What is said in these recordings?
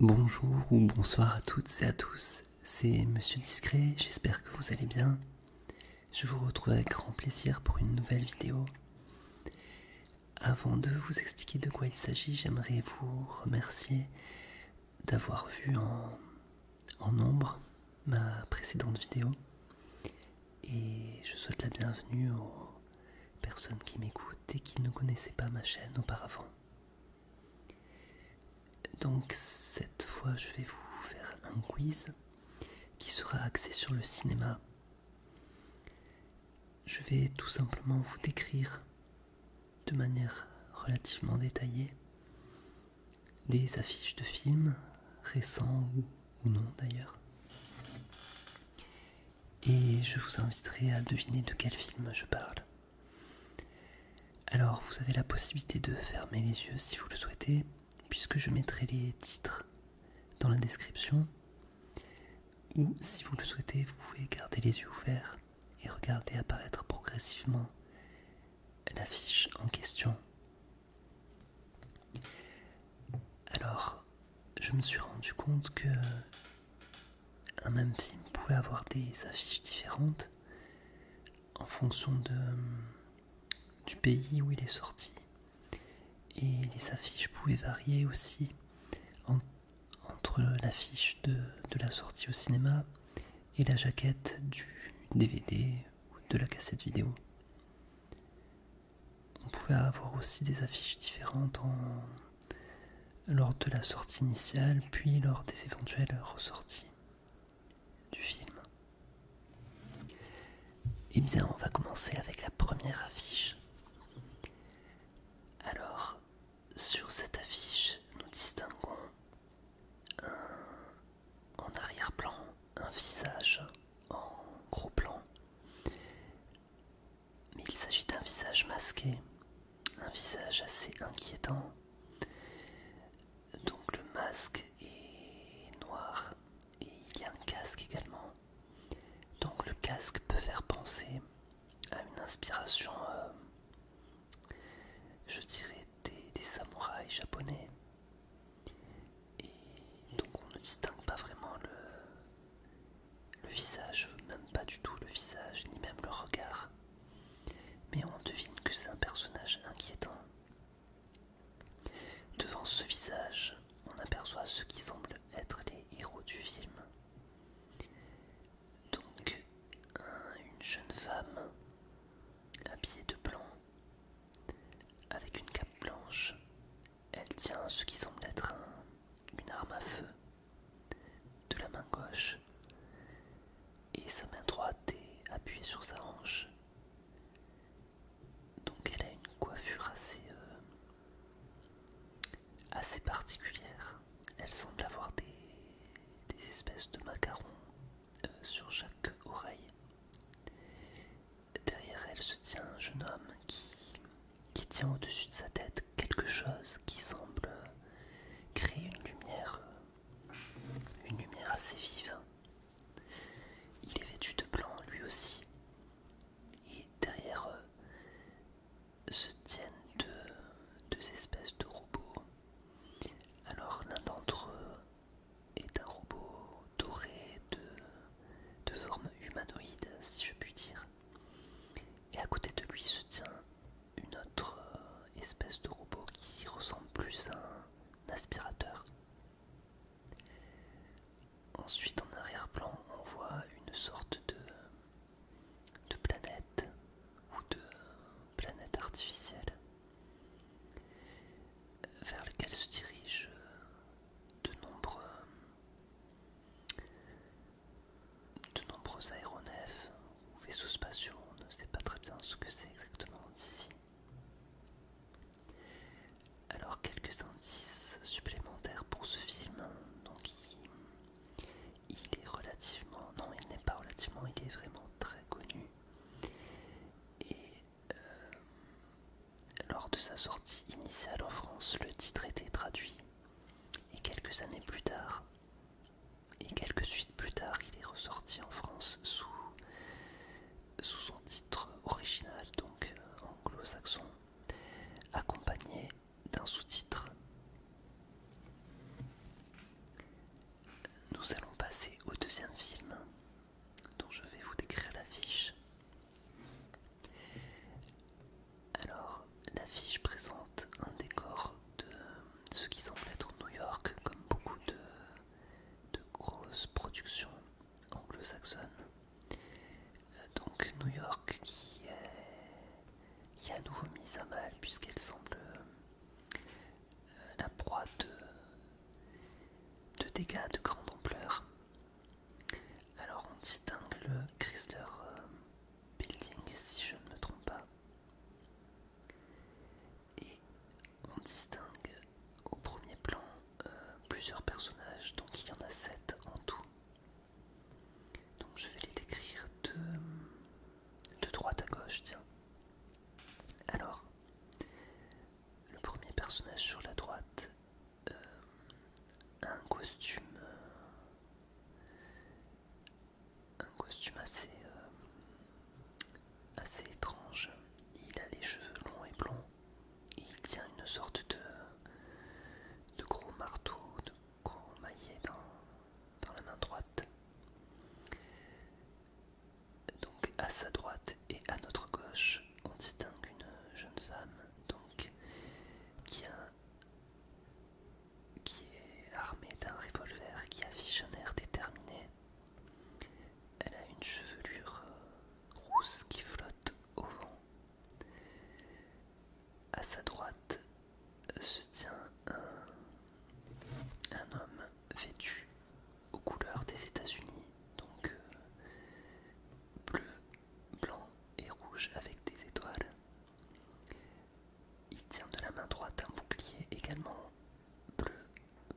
Bonjour ou bonsoir à toutes et à tous, c'est Monsieur Discret, j'espère que vous allez bien. Je vous retrouve avec grand plaisir pour une nouvelle vidéo. Avant de vous expliquer de quoi il s'agit, j'aimerais vous remercier d'avoir vu en, en nombre ma précédente vidéo. Et je souhaite la bienvenue aux personnes qui m'écoutent et qui ne connaissaient pas ma chaîne auparavant. Donc cette fois je vais vous faire un quiz qui sera axé sur le cinéma. Je vais tout simplement vous décrire de manière relativement détaillée des affiches de films récents ou, non d'ailleurs. Et je vous inviterai à deviner de quel film je parle. Alors, vous avez la possibilité de fermer les yeux si vous le souhaitez, puisque je mettrai les titres dans la description. Ou si vous le souhaitez, vous pouvez garder les yeux ouverts et regarder apparaître progressivement l'affiche en question. Alors, je me suis rendu compte que un ah, même film pouvait avoir des affiches différentes en fonction de, euh, du pays où il est sorti. Et les affiches pouvaient varier aussi entre l'affiche de, de la sortie au cinéma et la jaquette du DVD ou de la cassette vidéo. On pouvait avoir aussi des affiches différentes en lors de la sortie initiale, puis lors des éventuelles ressorties du film. Eh bien, on va commencer avec la première affiche. Alors, sur cette affiche, nous distinguons en arrière-plan un visage en gros plan mais il s'agit d'un visage masqué, un visage assez inquiétant. Donc le masque est noir et il y a un casque également. Donc le casque peut faire penser à une inspiration, euh, je dirais, des samouraïs japonais. Et donc on ne distingue pas vraiment le, le visage, même pas du tout le visage, ni même le regard. Mais on devine que c'est un personnage inquiétant. Devant ce visage, on aperçoit ce qui semble être les héros du film. Donc, une jeune femme habillée de blanc, avec une cape blanche, elle tient ce qui semble être une arme à feu de la main gauche et sa main droite est appuyée sur sa hanche. Donc elle a une coiffure assez, euh, assez particulière. Elle semble avoir des, espèces de macarons euh, sur chaque oreille. Derrière elle se tient un jeune homme qui qui tient au-dessus de sa tête quelque chose qui semble créer une lumière, euh, une lumière assez vive. Il est vêtu de blanc lui aussi. Et derrière eux se tiennent deux, espèces de robots. Alors l'un d'entre eux est un robot doré de, de forme humanoïde, si je puis dire. Et à côté de lui se tient une autre euh, espèce de robot qui ressemble plus à un aspirateur. Ensuite, en arrière-plan, on voit une sorte de, de planète ou de planète artificielle vers laquelle se dirigent de nombreux de nombreux aéronefs ou vaisseaux spatiaux, on ne sait pas très bien ce que c'est exactement d'ici. Alors quelques indices supplémentaires pour ce film. Donc il, est relativement, non il n'est pas relativement, il est vraiment très connu. Et euh, lors de sa sortie initiale en France, le titre était traduit et quelques années plus tard, et quelques suites plus tard, il est ressorti en France sous, sous son titre original, donc euh, anglo-saxon, accompagné d'un sous-titre. Nous allons passer au deuxième film dont je vais vous décrire l'affiche. Alors, l'affiche présente un décor de ce qui semble être New York, comme beaucoup de, grosses productions anglo-saxonnes. Euh, donc New York qui est, qui a à nouveau mise à mal puisqu'elle semble euh, la proie de, de dégâts de grande ampleur. Alors on distingue le Chrysler euh, building, si je ne me trompe pas. Et on distingue au premier plan euh, plusieurs personnages, donc il y en a 7 en tout. Donc je vais les décrire de, droite à gauche, tiens. Alors, le premier personnage sur la droite, euh, a un costume euh, un costume euh, assez, étrange. Il a les cheveux longs et blonds. il tient une sorte de, gros marteau, de gros maillet dans, dans la main droite. Donc à sa droite et à notre gauche, on distingue une jeune femme donc qui a qui est armée d'un revolver qui affiche un air déterminé. Elle a une chevelure euh, rousse qui flotte au vent. À sa droite euh, se tient un, homme vêtu aux couleurs des États-Unis, donc euh, bleu, blanc et rouge avec des étoiles. Il tient de la main droite un bouclier également bleu,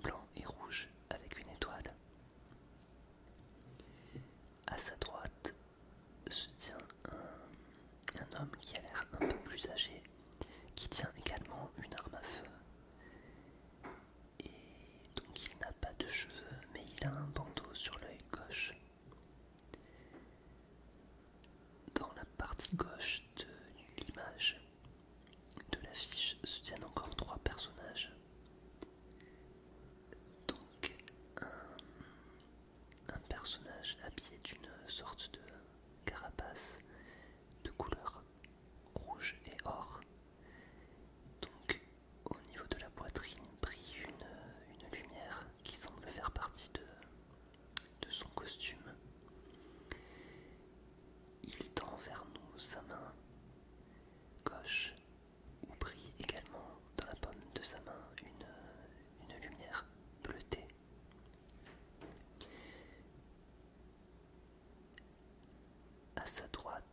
blanc et rouge avec une étoile. À sa droite se tient un, homme qui a l'air un peu plus âgé, qui tient également une arme à feu. Et donc il n'a pas de cheveux, mais il a un bandeau sur l'œil gauche. Dans la partie gauche de l'image de l'affiche se tiennent encore trois personnages. Donc un, personnage habillé d'une sorte de carapace de couleur rouge et or. Donc au niveau de la poitrine brille une lumière qui semble faire partie de de son costume. Il tend vers nous sa main gauche ou prit également dans la pomme de sa main une, lumière bleutée. À sa droite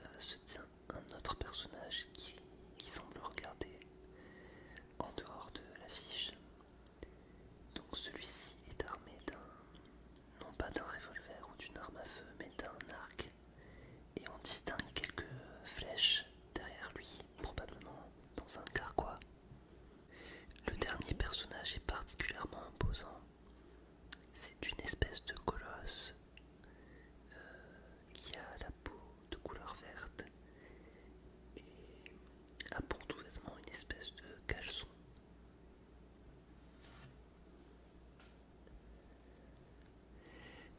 euh, se tient un autre personnage qui semble regarder en dehors de l'affiche. Donc celui-ci est armé d'un, non pas d'un revolver ou d'une arme à feu, mais d'un arc. Et on distingue quelques flèches derrière lui, probablement dans un carquois. Le dernier personnage est particulièrement imposant. C'est une espèce de colosse euh, qui a la peau de couleur verte et a pour tout vêtement une espèce de caleçon.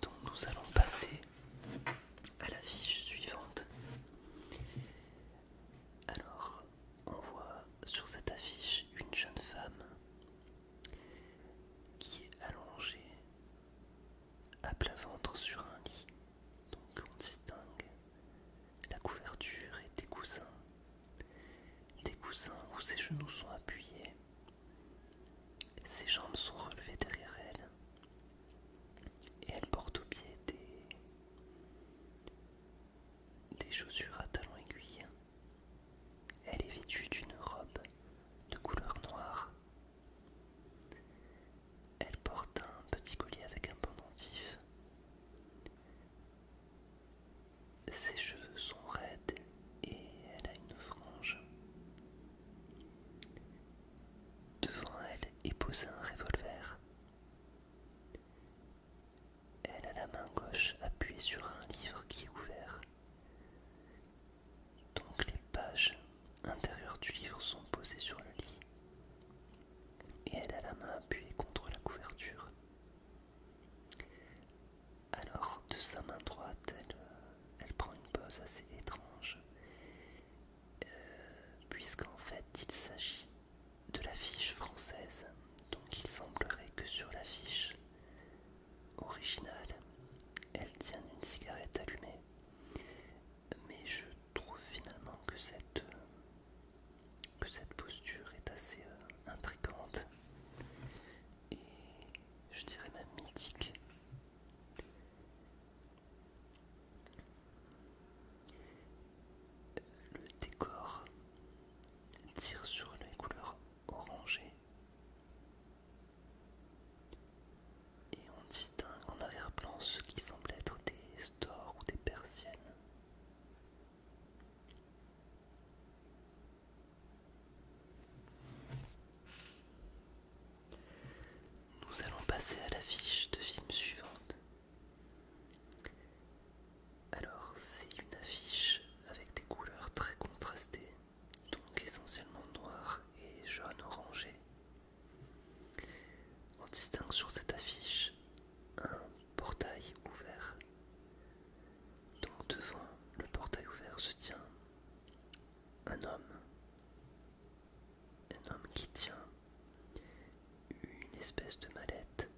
Donc nous allons passer à l'affiche suivante. Alors, on voit sur cette affiche une jeune femme qui est allongée à plat ventre sur un lit, donc on distingue. La couverture et des coussins, des coussins où ses genoux sont appuyés, ses jambes sont relevées derrière elle, et elle porte au pied des, des chaussures à talons aiguilles. Elle est vêtue d'une robe de couleur noire elle porte un petit collier avec un pendentif. Ses cheveux sont raides et elle a une frange. Devant elle est posé un revolver. Elle a la main gauche appuyée sur un livre qui est ouvert donc les pages intérieures du livre sont posées sur le lit et elle a la main appuyée contre la couverture. Alors de sa main droite, elle, euh, prend une pose assez étrange, euh, puisqu'en fait il s'agit de l'affiche française, donc il semblerait que sur l'affiche originale, elle tient une cigarette allumée mais je trouve finalement que cette, que cette posture est assez euh, intrigante et je dirais même mythique. Le décor tire sur les couleurs orangées et on distingue en arrière-plan ce qui semble être des stores ou des persiennes. Nous allons passer à l'affiche de film suivante. Alors, c'est une affiche avec des couleurs très contrastées, donc essentiellement noir et jaune orangé, on distingue sur cette affiche un portail ouvert. Donc devant le portail ouvert se tient un homme. Un homme qui tient une espèce de mallette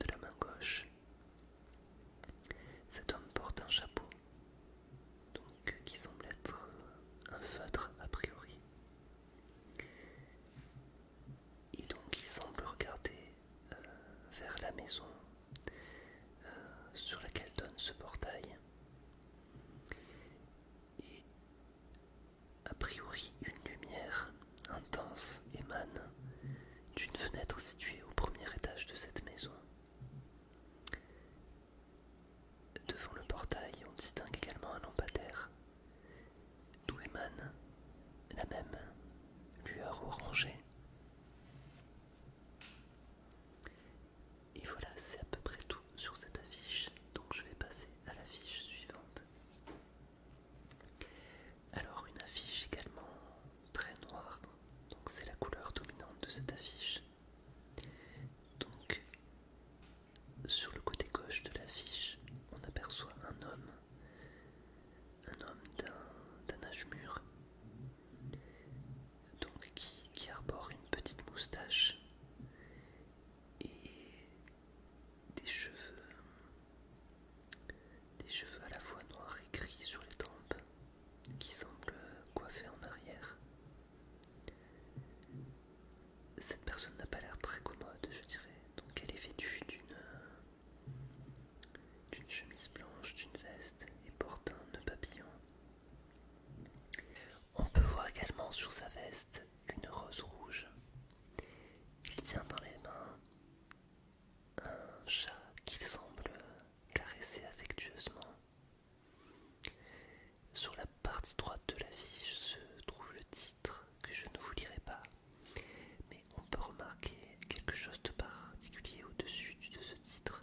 de la main gauche. Cet homme porte un chapeau qui semble être euh, un feutre a priori. Et donc il semble regarder euh, vers la maison euh, sur laquelle donne ce portail. Et a priori une lumière intense émane d'une fenêtre située au premier étage de cette maison Devant le portail, on distingue également un lampadaire, d'où émane la même lueur orangée. Et voilà, c'est à peu près tout sur cette affiche, donc je vais passer à l'affiche suivante. Alors une affiche également très noire, donc c'est la couleur dominante de cette affiche. Donc, sur le côté gauche de l'affiche, on aperçoit un homme, un homme d'un âge mûr, qui, arbore une petite moustache et des cheveux, des cheveux à la fois noirs et gris sur les tempes, qui semblent coiffés en arrière. Cette personne n'a pas l'air très commode, je dirais. Donc elle est vêtue euh, d'une chemise blanche, d'une veste et porte un nœud papillon. On peut voir également sur sa veste une rose rouge. Il tient dans les mains un chat qu'il semble caresser affectueusement. Sur la partie droite de la fiche se trouve le titre que je ne vous lirai pas, mais on peut remarquer quelque chose de particulier au-dessus de ce titre.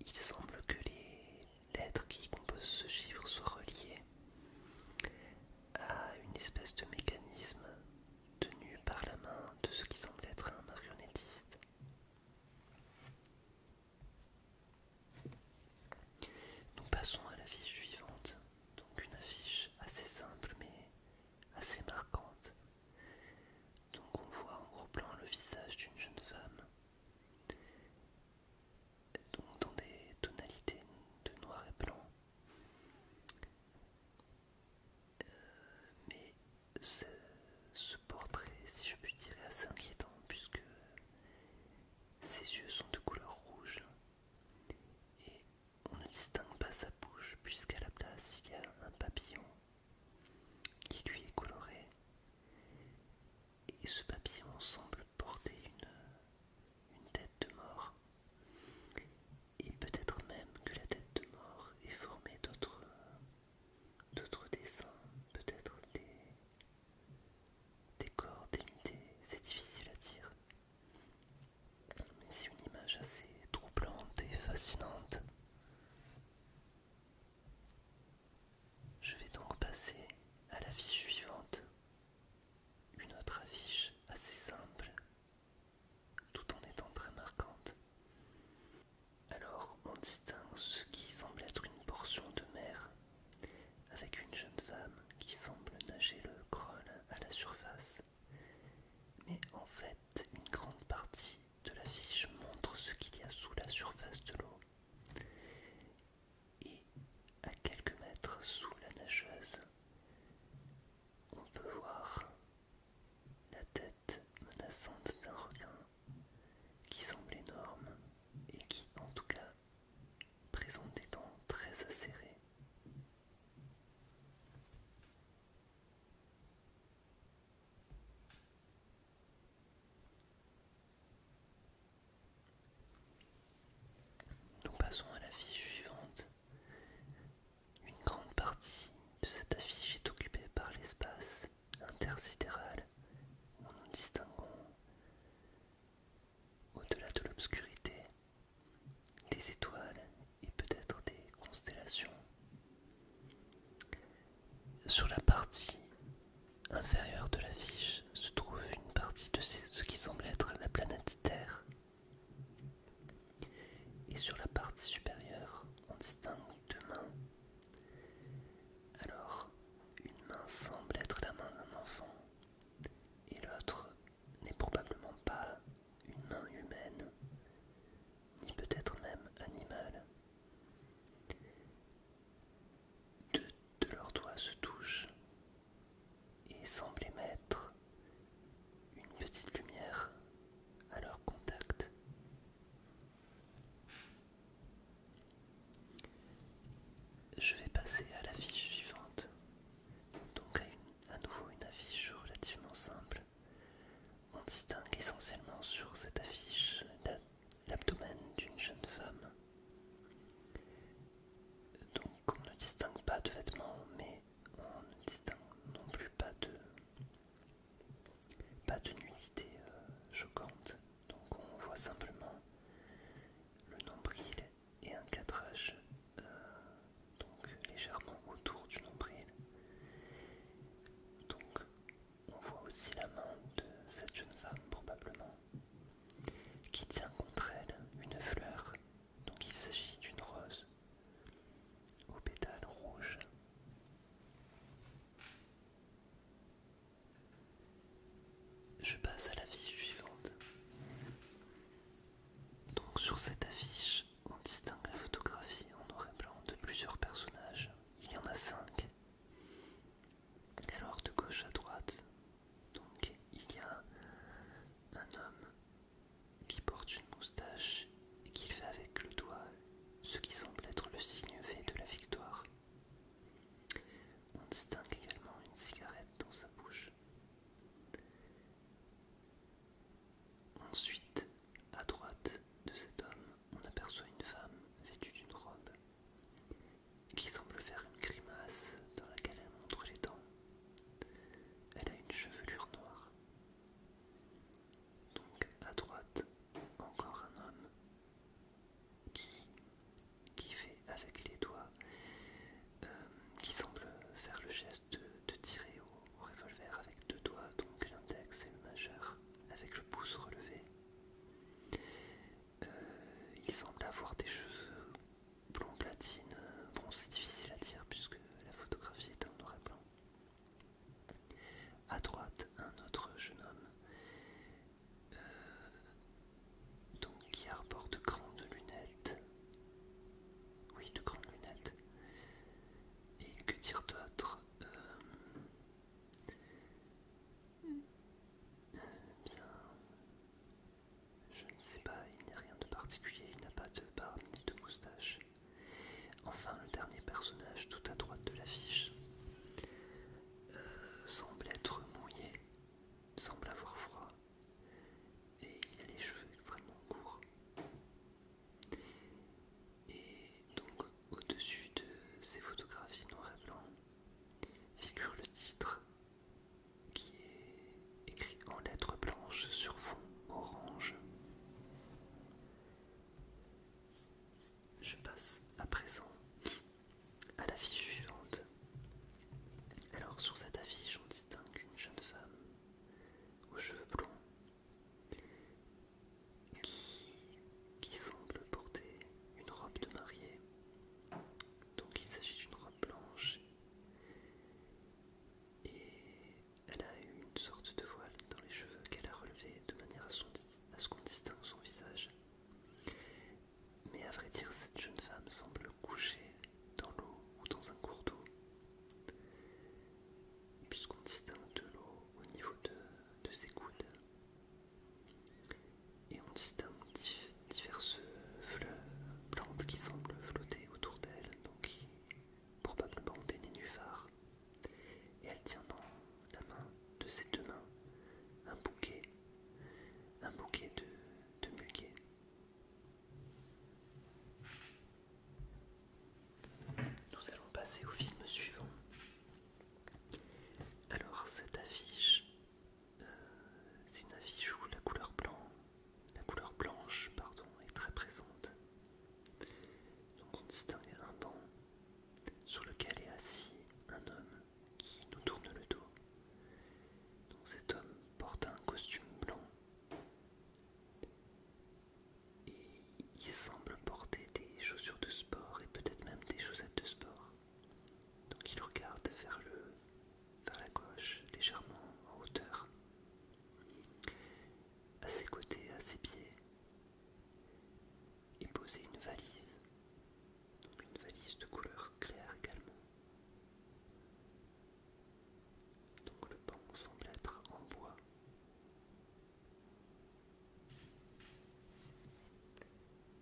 Il semble que les lettres qui composent ce chiffre soient reliées à une espèce de mécanisme tenu par la main de ce qui semble être un marionnettiste. Nous passons à l'affiche suivante, donc une affiche assez simple mais assez marquante. Donc on voit en gros plan le visage d'une jeune femme, dans des tonalités de noir et blanc, euh, ce, portrait, si je puis dire, est assez inquiétant puisque ses yeux sont de couleur rouge et on ne distingue pas sa bouche puisqu'à la place il y a un papillon qui lui est coloré et ce papillon semble porter une tête de mort et peut-être même que la tête de mort est formée d'autres d'autres dessins, peut-être des, des corps c'est difficile à dire. Mais c'est une image assez troublante et fascinante. Je vais donc passer à l'affiche suivante, une autre affiche assez simple, tout en étant très marquante. Alors on distingue ce qui semble être une portion de mer, avec une jeune femme qui semble nager le crawl à la surface. Mais en fait, une grande partie de l'affiche montre ce qu'il y a sous la surface de l'eau. Et à quelques mètres sous la nageuse, on peut voir la tête menaçante d'un requin qui semble énorme et qui, en tout cas, présente des dents très acérées. Nous passons à l'affiche suivante. Une grande partie de cette affiche est occupée par l'espace intersidérale où nous distinguons au-delà de l'obscurité des étoiles et peut-être des constellations. Sur la partie inférieure de l'affiche se trouve une partie de ce qui semble être la planète Terre. Et sur la partie supérieure, on distingue deux mains alors, une main semble être la main d'un enfant, et l'autre n'est probablement pas une main humaine, ni peut-être même animale. Deux de leurs doigts se touchent et semblent émettre une petite lumière à leur contact. Je vais passer à l'affiche suivante, donc à, nouveau une affiche relativement simple. On distingue essentiellement sur cette affiche l'abdomen d'une jeune femme. Donc on ne distingue pas de vêtements, mais on ne distingue non plus pas de pas de nudité euh, choquante, donc on voit simplement le nombril et un cadrage euh, donc légèrement autour du nombril. Donc on voit aussi la main de cette jeune femme probablement qui tient contre elle une fleur, donc il s'agit d'une rose au pétale rouge. Je passe à l'affiche suivante. Donc sur cette affiche, on distingue la photographie en noir et blanc de plusieurs personnages. Il y en a cinq. Alors de gauche à droite, donc il y a un homme qui porte une moustache et qu'il fait avec le doigt ce qui semble être le signe fait de la victoire. On distingue également une cigarette dans sa bouche. Ensuite, à droite de cet homme, on aperçoit une femme vêtue d'une robe qui semble faire une grimace dans laquelle elle montre les dents. Elle a une chevelure noire. Donc à droite, encore un homme qui, fait avec les doigts, euh, qui semble faire le geste de, tirer au, revolver avec deux doigts, donc l'index et le majeur, avec le pouce relevé. Euh, il semble avoir des cheveux blond platine. Bon, c'est difficile à dire puisque la photographie est en noir et blanc. À droite, un autre jeune homme, euh, donc qui arbore de grandes lunettes. Oui, de grandes lunettes. Et que dire d'autre euh, euh, Je ne sais pas, il n'y a rien de particulier, il n'a pas de barbe ni de moustache. Enfin, le dernier personnage tout à droite de l'affiche euh, semble être mouillé, semble avoir froid, et il a les cheveux extrêmement courts. Et donc, au-dessus de ces photographies noir et blanc, figure le titre qui est écrit en lettres blanches sur fond orange. Je passe à présent à l'affiche suivante. Alors sur cette affiche, on distingue une jeune femme aux cheveux blonds qui, semble porter une robe de mariée. Donc il s'agit d'une robe blanche et elle a une sorte de voile dans les cheveux qu'elle a relevé de manière assondie à ce qu'on distingue son visage. Mais à vrai dire, cette jeune femme semble couchée dans l'eau ou dans un cours d'eau, puisqu'on distingue de l'eau au niveau de, ses coudes. Et on distingue diverses plantes qui semblent flotter autour d'elle, donc probablement des nénuphars et elle tient dans la main de ses deux mains un bouquet, un bouquet de, de Nous allons passer au film suivant. Alors cette affiche, euh, c'est une affiche où la couleur la couleur blanche, pardon, est très présente. Donc on distingue un banc sur lequel est assis un homme qui nous tourne le dos. Donc cet homme porte un costume blanc et il semble porter des chaussures de sport et peut-être même des chaussettes de sport. Donc il regarde vers, le, vers la gauche, légèrement en hauteur. À ses côtés, à ses pieds, et poser une valise, une valise de couleur claire également. Donc le banc semble être en bois.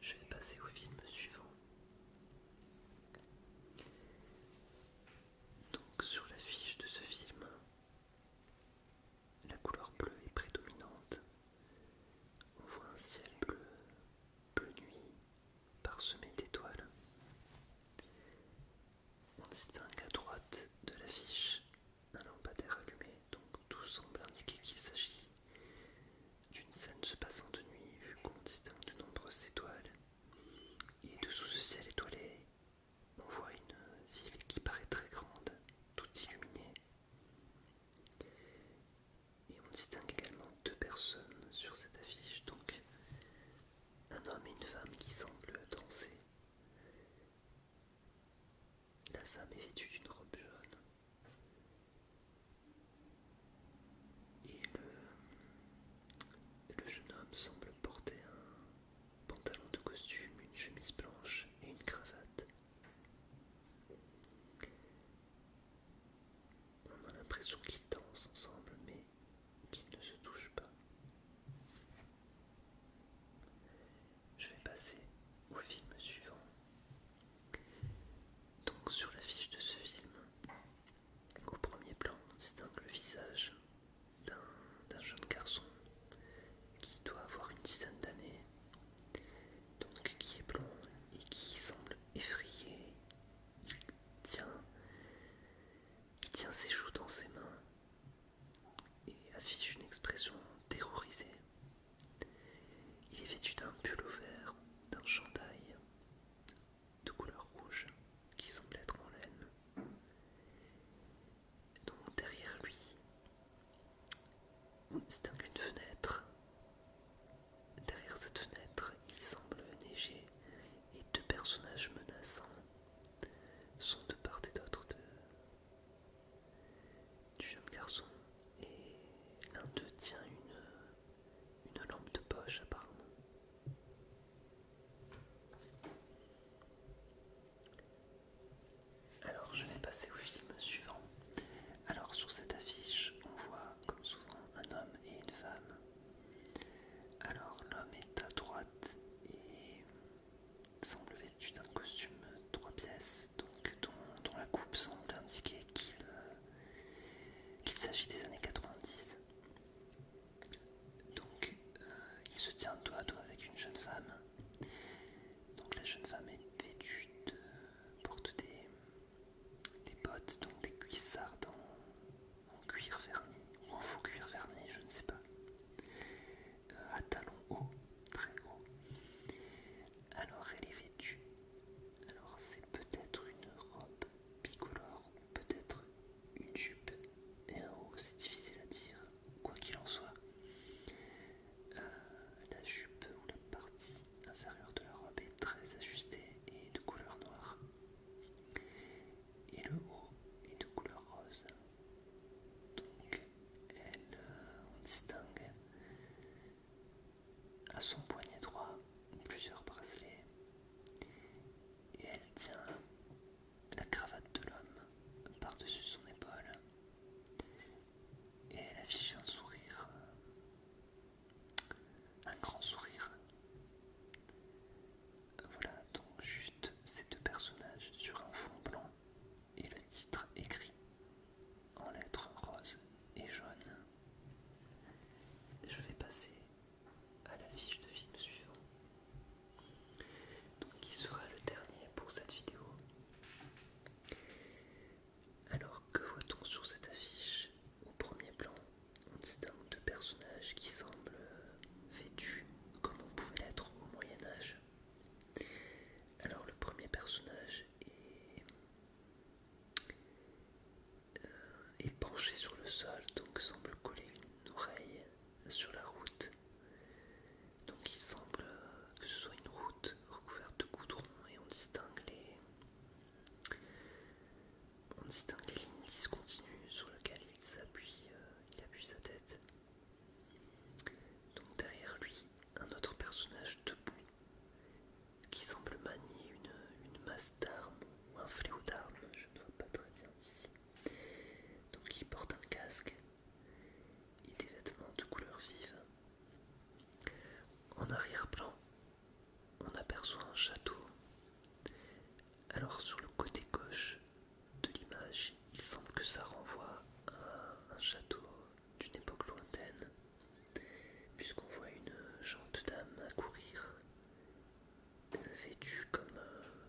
Je vais passer au film suivant. Donc sur l'affiche de ce film, la couleur bleue est prédominante. On voit un ciel bleu, bleu nuit, parsemé d'étoiles. On distingue à droite de l'affiche un lampadaire allumé, donc tout semble indiquer qu'il s'agit d'une scène se passant de nuit, vu qu'on distingue de nombreuses étoiles. Et dessous ce ciel étoilé, on voit une ville qui paraît très grande, toute illuminée. Et on distingue également deux personnes sur cette affiche, donc un homme et une femme qui semblent danser. La femme est vêtue d'une robe jaune. Et le, le jeune homme semble porter un, pantalon de costume, une chemise blanche et une cravate. On a l'impression qu'ils dansent ensemble, mais qu'ils ne se touchent pas. Je vais passer au film suivant. Donc sur l'affiche de ce film, au premier plan, on distingue le visage d'un jeune garçon qui doit avoir une dizaine d'années, donc qui est blond et qui semble effrayé. Il tient, ses joues dans ses mains et affiche une expression terrorisée. Il est vêtu d'un pull vert, d'un chandail de couleur rouge qui semble être en laine. Donc derrière lui, on distingue une fenêtre. Derrière cette fenêtre, il semble neiger et deux personnages menaçants sont de part et d'autre du jeune garçon. Et l'un d'eux tient une, une lampe de poche apparemment. Alors je vais passer au film suivant. Alors sur cette affiche, on voit comme souvent un homme et une femme. Alors l'homme est à droite et semble vêtu d'un costume trois pièces, dont, la coupe semble indiquer qu'il euh, s'agit des années 90. Donc euh, il se tient dos à toi avec une jeune femme donc la jeune femme est vêtue de... porte des, des bottes, donc des cuissardes en, cuir verni ou en faux cuir verni, je ne sais pas, euh, à talons hauts, très hauts. Alors elle est vêtue. Alors c'est peut-être une robe bicolore, ou peut-être une jupe et un haut, c'est difficile à dire quoi qu'il en soit. Euh, la jupe ou la partie inférieure de la robe est très ajustée et de couleur noire. Et le haut est de couleur rose. Donc, elle, euh, on distingue à son poignet droit plusieurs bracelets et elle tient la cravate de l'homme par-dessus son épaule et elle affiche un sourire, euh, un grand sourire. Voilà donc juste ces deux personnages sur un fond blanc et le titre écrit en lettres roses et jaunes. Je vais passer à la fiche de film suivant donc qui sera le dernier pour cette vidéo. Alors que voit-on sur cette affiche Au premier plan, on distingue deux personnages qui semblent euh, vêtus comme on pouvait l'être au Moyen Âge. Alors le premier personnage est, euh, est penché sur le sol, donc semble coller une oreille sur la route. Donc il semble que ce soit une route recouverte de goudron et on distingue les, on distingue les lignes discontinues sur lesquelles il s'appuie, euh, il appuie sa tête. Donc derrière lui, un autre personnage debout qui semble manier une, masse d'armes ou un fléau d'armes, je ne vois pas très bien ici. Donc il porte un casque et des vêtements de couleur vive. En arrière-plan, on aperçoit un château. Alors sur le côté gauche de l'image, il semble que ça renvoie à un château d'une époque lointaine, puisqu'on voit une jante dame à courir, vêtue comme euh,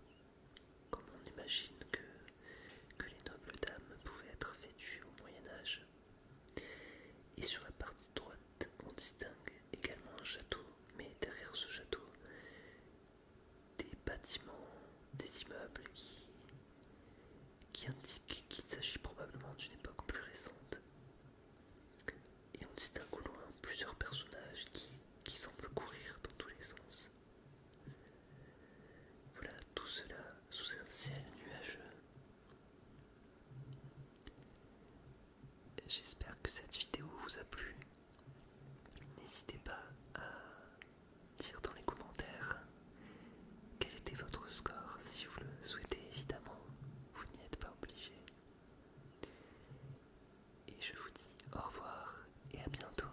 comme on imagine que, les nobles dames pouvaient être vêtues au Moyen Âge. Et sur la partie droite, on distingue également un château, mais derrière ce château, des bâtiments, des immeubles qui, indiquent qu'il s'agit probablement d'une époque plus récente. Et on distingue au loin plusieurs personnages qui semblent courir dans tous les sens. Voilà tout cela sous un ciel nuageux. J'espère que cette vidéo vous a plu. N'hésitez pas à dire dans les commentaires quel était votre score si vous le souhaitez évidemment. Vous n'y êtes pas obligé. Et je vous dis au revoir et à bientôt.